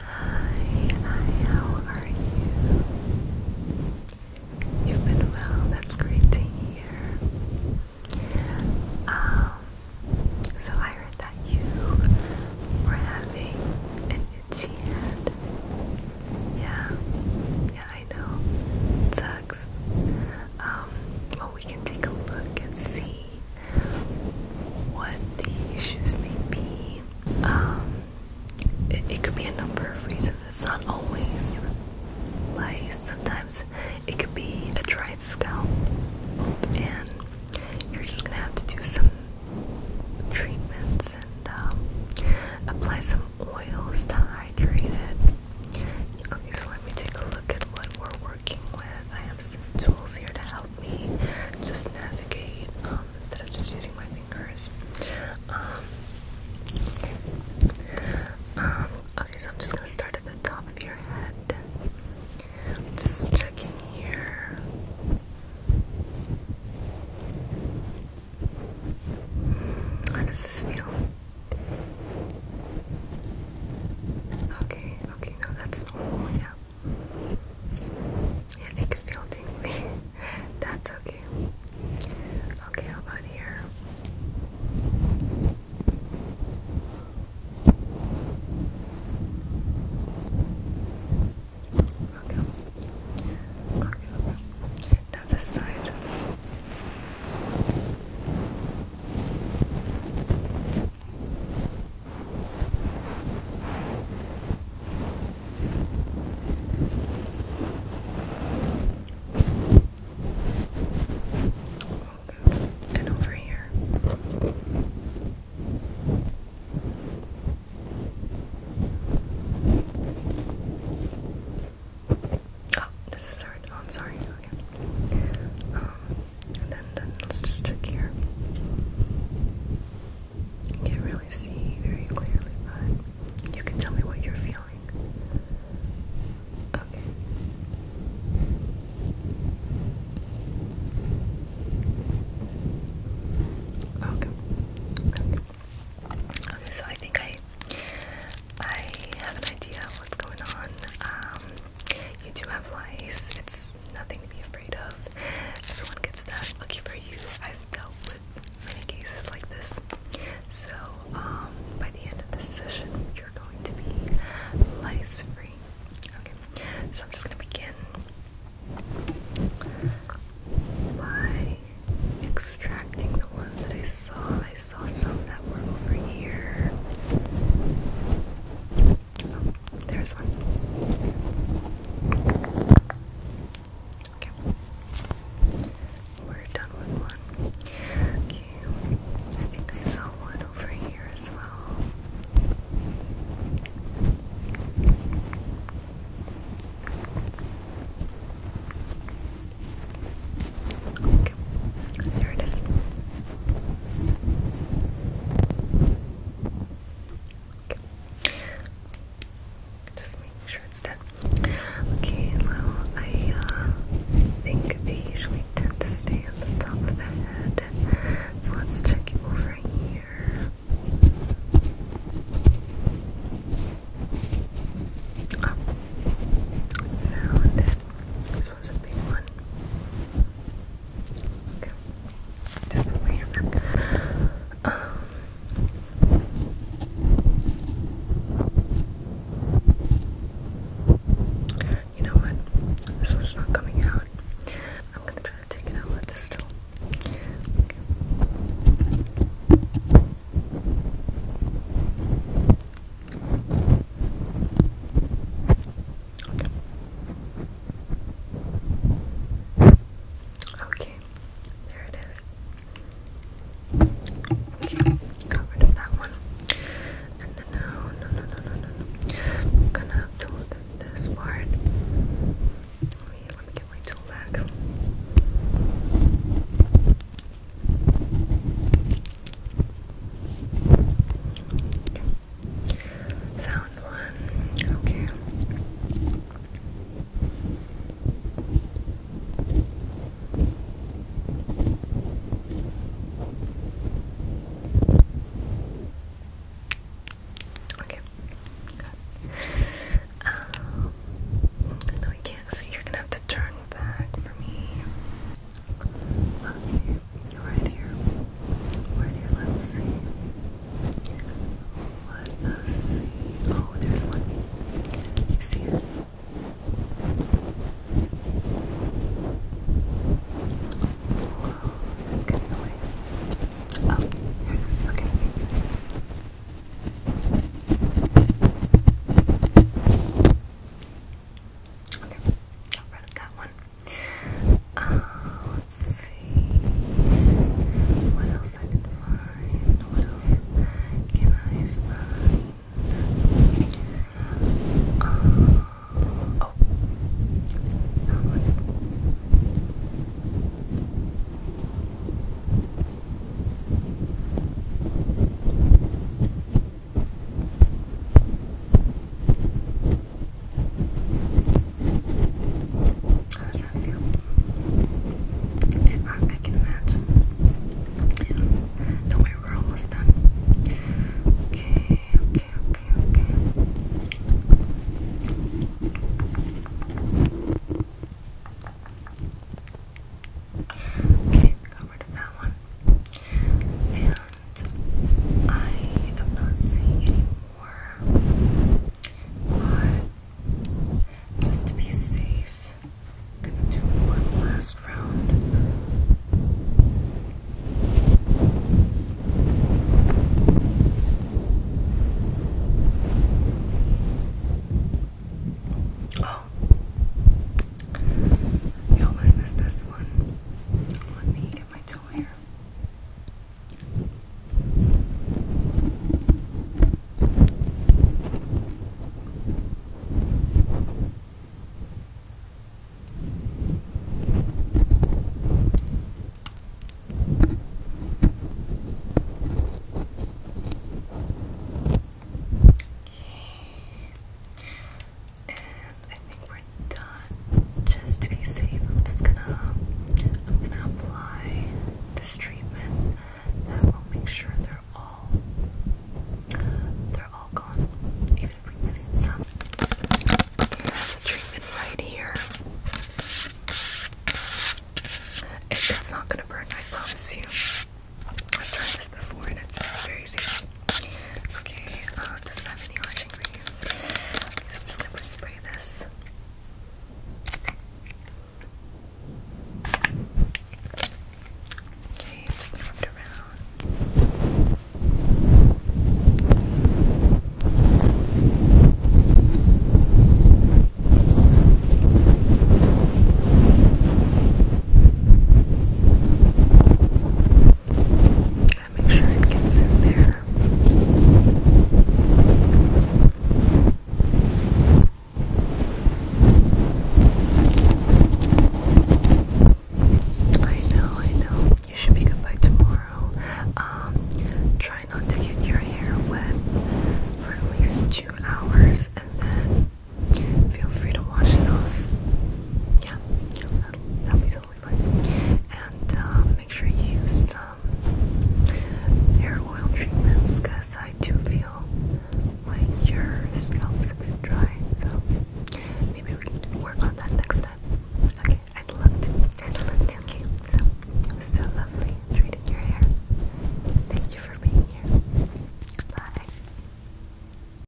Hi, hi, how are you? You've been well, that's great to hear. Um, so I heard that you were having an itchy head. Yeah, yeah, I know. sucks. Um, well, we can take a look and see what the issues may be. Um, it, could be a number of reasons. It's not always like Sometimes it could be a dry scalp, and you're just gonna have to do some treatments and um, apply some oils to hydrate it. so let me take a look at what we're working with. I have some tools here to help just navigate um, instead of just using my fingers. Um, okay. so I'm just gonna start at the top of your head. just checking here. How does this feel? Okay, okay, no, that's normal, yeah it can feel That's okay. Okay, how about here? Okay. Okay, Now this side. Okay. And over here. Oh, this is hard. Oh, I'm sorry. Um, and then, then let's just check here. can't really see very clearly, but you can tell me what you're feeling. Okay. Okay. Okay. so I think I I have an idea of what's going on. Um you do have lice. It's nothing to be afraid of. Everyone gets that. Lucky for you, I've dealt with many cases like this. So, um, by the end of this session, you're going to be lice free. Okay, so I'm just gonna begin by extracting the ones that I saw. I saw some that were over here there's one. Okay. We're done with one. I think I saw one over here as well. Okay. There it is. Just making sure it's done. Okay, now I uh, think they usually tend to stay on the top of the head. So let's check over here. Oh, found it this um, you know what? This one's not coming out. I'm gonna try to take it out with this tool. Okay. Okay, there it is. Okay, got rid of that one. And no, no, no, no, no, no, no. I'm gonna have to look this part. Let let me get my tool back. Found one, okay. Okay, Um, no, you can't see. You're gonna have to turn back for me right here. Right here, let's see. Let us see. Oh, there's one. You see it? Whoa, it's getting away. Oh, there it is. Okay. Okay, got rid of that one let's see. What else I can find? What else can I find? oh. How does that feel? I, can imagine. You we're almost done. Okay, okay, okay, okay. got rid of that one. And I am not saying anymore. But just to be safe, gonna do one last round. Oh, you almost missed this one. Let me get my tool here. And I think we're done. Just to be safe, I'm just gonna I'm gonna apply this treatment that will make sure they're all they're all gone. Even if we missed some. Here's treatment right here. it's not gonna burn, I promise you. I've tried this before and it's, it's very safe. Okay, uh, does it have any washing creams? so I'm just gonna spray this. Okay, just going around. Gotta make sure it gets in there. I know, I know. You should be good by tomorrow. Um, try not to get your hair wet for at least two hours and then feel free to wash it off. Yeah, That'll, be totally fine. And uh, make sure you use some hair oil treatments because I do feel like your scalp's a bit dry. So maybe we can work on that next time. Okay, i love to. Okay, so so lovely treating your hair. Thank you for being here. Bye.